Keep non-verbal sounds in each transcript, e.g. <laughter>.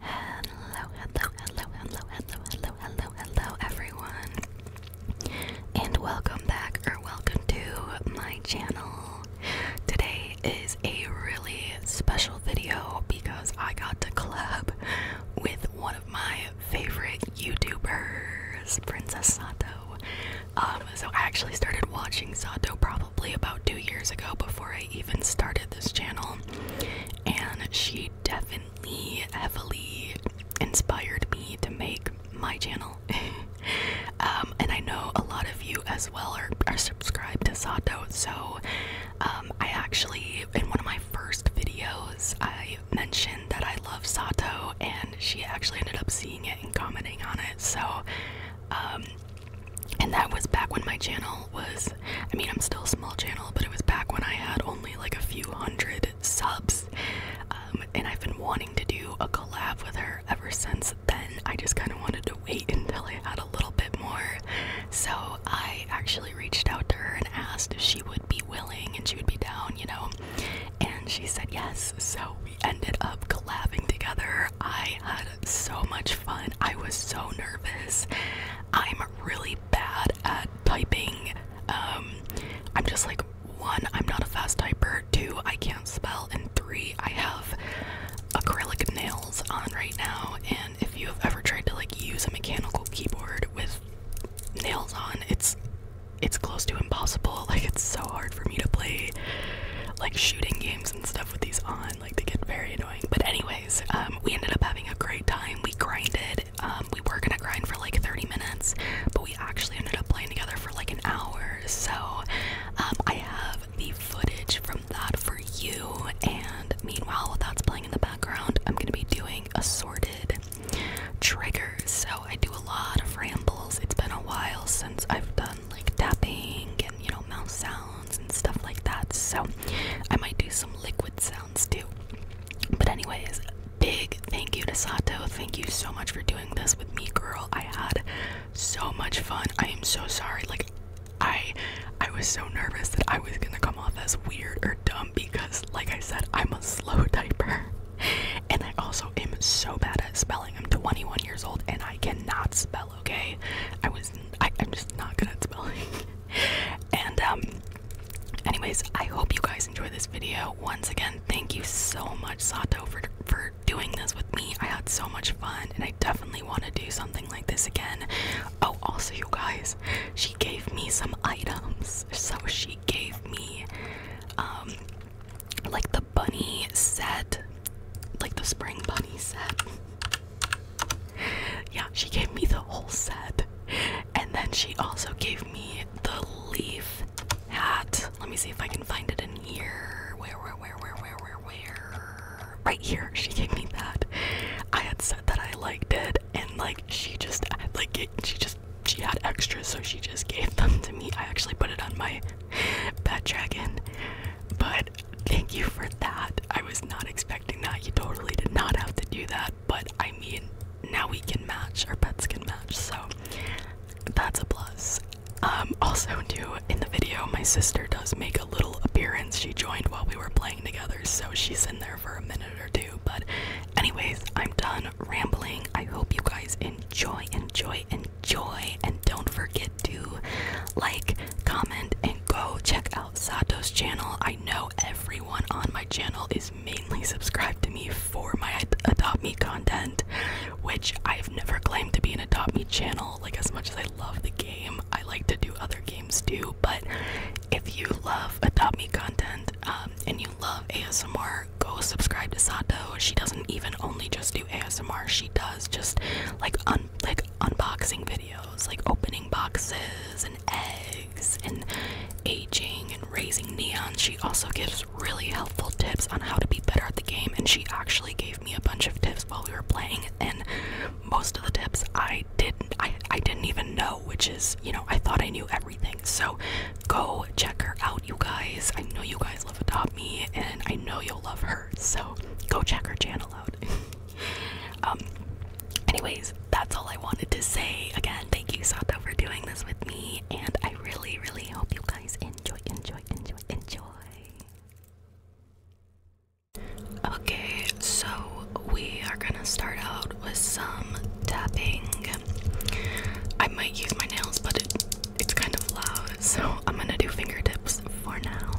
Hello, hello, hello, hello, hello, hello, hello, hello, everyone, and welcome back or welcome to my channel. Today is a really special video because I got to collab with one of my favorite YouTubers, Princess Sato. Um, so I actually started watching Sato probably about two years ago before I even started this channel, and she definitely heavily inspired me to make my channel. <laughs> Um, and I know a lot of you as well are, are subscribed to Sato, so um, I actually, in one of my first videos, I mentioned that I love Sato, and she actually ended up seeing it and commenting on it. So, um, and that was back when my channel was, I mean, I'm still a small channel, but it was back when I had only like a few hundred subs. Um, and I've been wanting to do a collab with her ever since then. I just kind of wanted to wait <laughs> until I had a little bit more so I actually reached out to her and asked if she would be willing and she would be down, you know. And she said yes. So we ended up collabing together. I had so much fun. I was so nervous. I'm really bad at typing. Um, I'm just like, one, I'm not a fast typer. Two, I can't spell. And three, I have acrylic nails on right now. And if you have ever tried to like use a mechanical keyboard with nails on it's it's close to impossible <laughs> like it's so hard for me to play like shooting games and stuff with these on like they get very annoying but anyways um, we ended up having a great time we grinded um, we were gonna grind for like 30 minutes but we actually ended up playing together for like an hour so um, i have the footage from that for you and meanwhile while that's playing in the background i'm gonna be doing assorted triggers. So I do a lot of rambles. It's been a while since I've done like tapping and you know mouth sounds and stuff like that. So I might do some liquid sounds too. But anyways, big thank you to Sato. Thank you so much for doing this with me, girl. I had so much fun. I am so sorry. Like I I was so nervous that I was gonna come off as weird or dumb because like I said, I'm a slow <laughs> typer. And I also am so bad at spelling. I'm 21 years old and I cannot spell, okay? I was, I'm just not good at spelling. <laughs> and, um, anyways, I hope you guys enjoy this video. Once again, thank you so much, Sato, for, for doing this with me. I had so much fun and I definitely want to do something like this again. Oh, also, you guys, she gave me some items. So she gave me um like the bunny set, like the spring bunny set. yeah, she gave me the whole set. And then she also gave me the leaf hat. Let me see if I can find it in here. Where, where, where, where, where, where, where? Right here. She gave me that. I had said that I liked it, and like she just like she just she had extras so she just gave them to me i actually put it on my pet dragon but thank you for that i was not expecting that you totally did not have to do that but i mean now we can match our pets can match so that's a plus um, also too in the video my sister does make a little appearance she joined while we were playing together so she's in there for a minute or two but, anyways, I'm done rambling. I hope you guys enjoy, enjoy, enjoy. And don't forget to like, comment, and go check out Sato's channel. I know everyone on my channel is mainly subscribed to me for my Adopt Me content, which I've never claimed to be an Adopt Me channel. Like, as much as I love the game, I like to do other games too. But if you love Adopt Me content um, and you love ASMR, go subscribe to Sato. She doesn't even only just do ASMR. She does just like like unboxing videos, like opening boxes and eggs and aging and raising neon. She also gives really helpful tips on how to be better at the game, and she actually gave me a bunch of tips while we were playing. And most of the tips I didn't I I didn't even know which is, you know, I thought I knew everything. So go check her out, you guys. I know you guys love Adopt Me, and I know you'll love her. So go check her channel out. <laughs> um, anyways, that's all I wanted to say. Again, thank you, Sato, for doing this with me, and I really, really hope you guys enjoy, enjoy, enjoy, enjoy. Okay, so we are gonna start out with some tapping. I might use my nails, but it's kind of loud, so <laughs> I'm gonna do fingertips for now.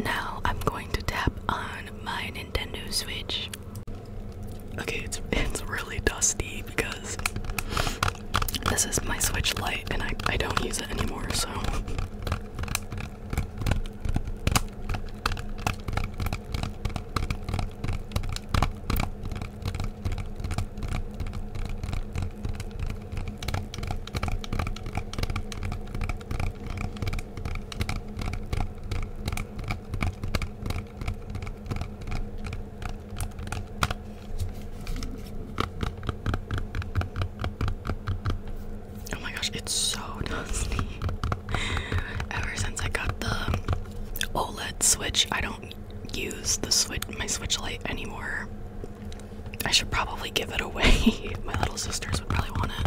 Now I'm going to tap on my Nintendo Switch. Okay, it's it's really dusty because this is my Switch light and I I don't use it anymore, so Oh my gosh, it's so <laughs> dusty. Ever since I got the OLED Switch, I don't use the switch my Switch light anymore. I should probably give it away. <laughs> my little sisters would probably want it.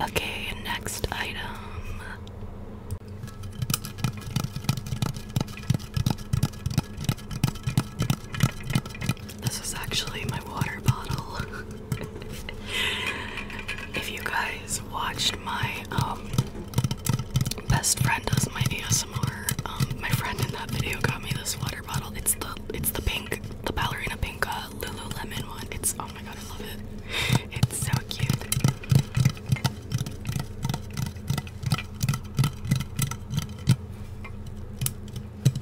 Okay, next item. This is actually my water bottle. <laughs> <laughs> if you guys watched my um, best friend does my ASMR, um, my friend in that video got me this water bottle. It's the it's the pink, the ballerina pink uh, Lululemon one. It's oh my god, I love it. It's so cute.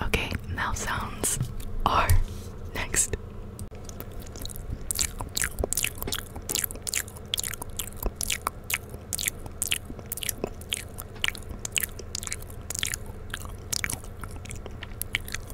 Okay, mouth sounds are next.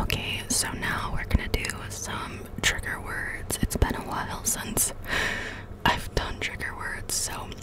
Okay, so now we're gonna do some trigger words. It's been a while <laughs> since I've done trigger words, so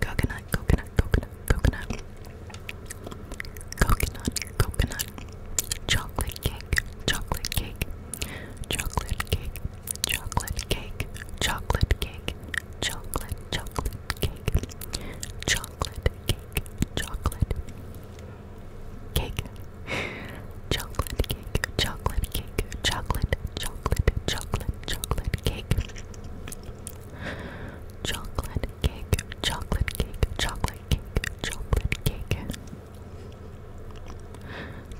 Coconut, coconut, coconut, coconut. Coconut, coconut. Chocolate cake, chocolate cake. Chocolate cake, chocolate cake. Chocolate cake, chocolate, chocolate cake. Chocolate cake, chocolate. Cake. Chocolate cake, chocolate cake, chocolate, chocolate, chocolate, chocolate cake, chocolate cake, chocolate cake, chocolate cake, chocolate cake, chocolate cake,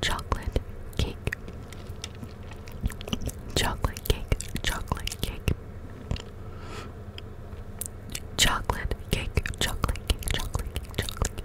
chocolate cake, chocolate cake, chocolate cake, chocolate cake, chocolate cake, chocolate cake, chocolate cake.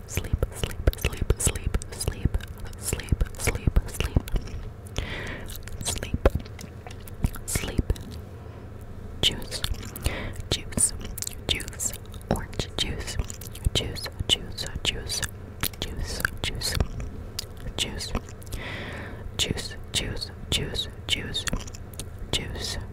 sleep, sleep, sleep, sleep, sleep, sleep, sleep, sleep, sleep, sleep, sleep, juice, juice, juice, orange juice, juice, juice, juice, juice, juice, juice, juice, juice, juice, juice, juice.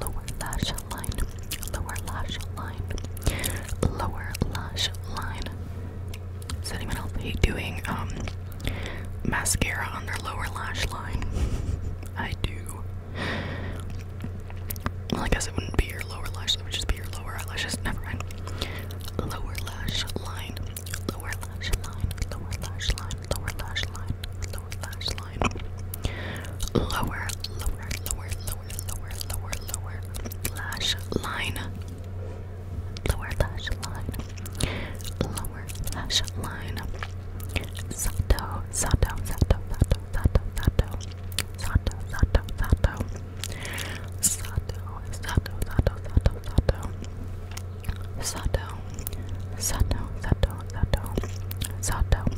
lower lash line, lower lash line, lower lash line. Does anyone else hate doing um mascara on their lower lash line? <laughs> I do. Well, I guess it wouldn't be your lower lash, it would just be your lower eyelashes. Never mind. Lower lash line, lower lash line, lower lash line, lower lash line, lower lash line line. Lower, lower, lower, lower, lower, lower, lower lash line. Lower lash line. Lower lash line. Sato, sato, sato, sato, sato, sato. Sato, sato, sato. Sato, sato, sato, sato, sato. Sato, sato, sato, sato. Sato,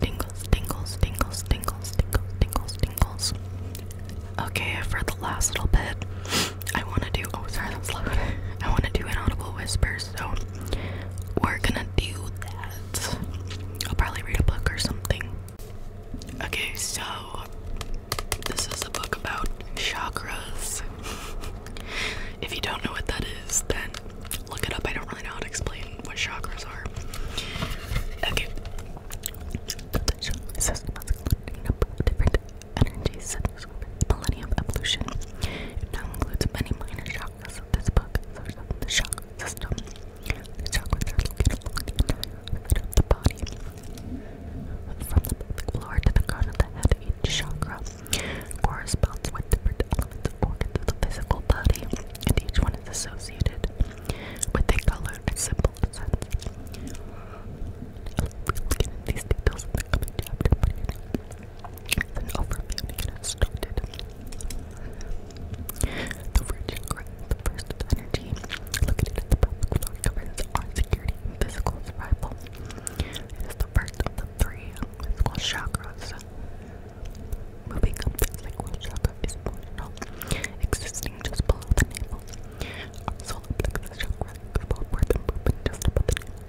Tingles, tingles, tingles, tingles, tingles, tingles, tingles. Okay, for the last little bit, I want to do. Oh, sorry, that's loud. <laughs> I want to do inaudible whispers, so we're gonna do that. I'll probably read a book or something. Okay, so this is a book about chakras. <laughs> if you don't know what that is, then Look it up. I don't really know how to explain what chakras are. Okay. different energies such evolution. It now includes many minor chakras. This book is chakras are located along the body, from the floor to the crown of the head. Each chakra corresponds with different elements or organs of the physical body, and each one is associated with a color and symbol these details in the coming chapter, but here is an overview The root chakra of located at the pelvic floor, governs our security physical survival. It is the first of the three physical chakras. Moving up the sacral chakra is emotional, existing just below the navel. Our solar plexus chakra is forward and moving just above the navel.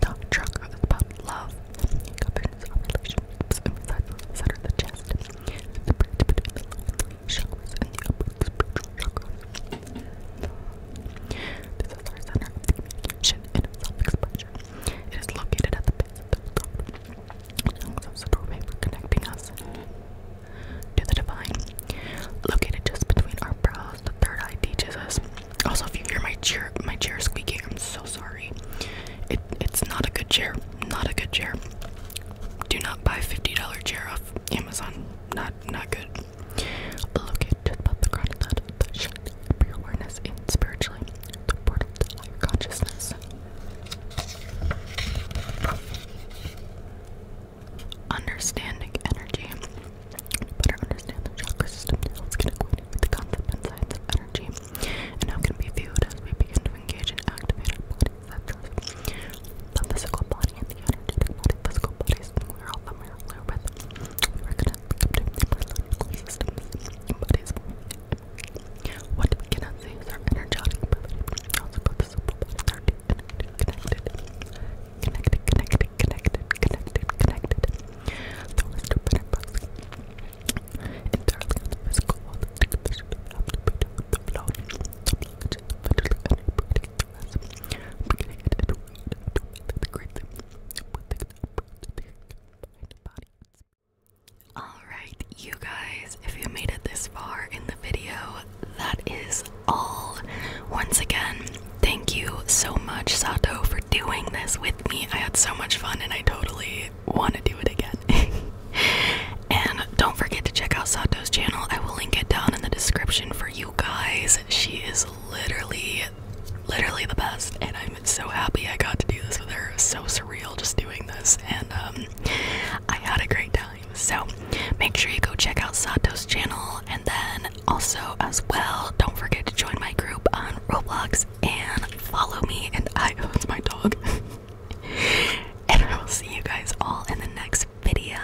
The heart love, governs our relationships, and resides at center of the chest. the bridge the lower three chakras and the upper spiritual chakra. This is our center of communication and self-expression. It is located at the base of the throne. doorway for connecting us to the divine. Located just between our brows, the third eye teaches us. Also, if you hear my chair, my chair squeaking, I'm so sorry. It it's not a good chair. Not a good chair. Do not buy fifty dollar chair off Amazon. Not not good. Located above the ground, that shine awareness in spiritually the portal to life consciousness. Understanding energy. better understand the chakra system now, let's get acquainted with the concept and science of energy and how it can be viewed as we begin to engage and activate our body The physical body and the energetic body, physical bodies, we're all familiar with. We recognize the systems bodies. What we cannot see is our energetic ability. Also called the simple body. Connected, connected, connected, connected, connected, connected. The physical Alright, you guys, if you made it this far in the video, that is all. Once again, thank you so much, Sato, for doing this with me. I had so much fun and I totally want to do it again. <laughs> and don't forget to check out Sato's channel. I will link it down in the description for you guys. She is literally literally the best, and I'm so happy I got to do this with her. It was so surreal just doing this, and um, I had a great time. So make sure you go check out Sato's channel, and then also as well, don't forget to join my group on Roblox and follow me. And I, oh, <laughs> it's my dog. <laughs> and I will see you guys all in the next video.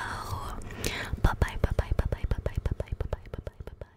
Bye bye bye bye bye bye bye bye bye bye bye bye bye bye.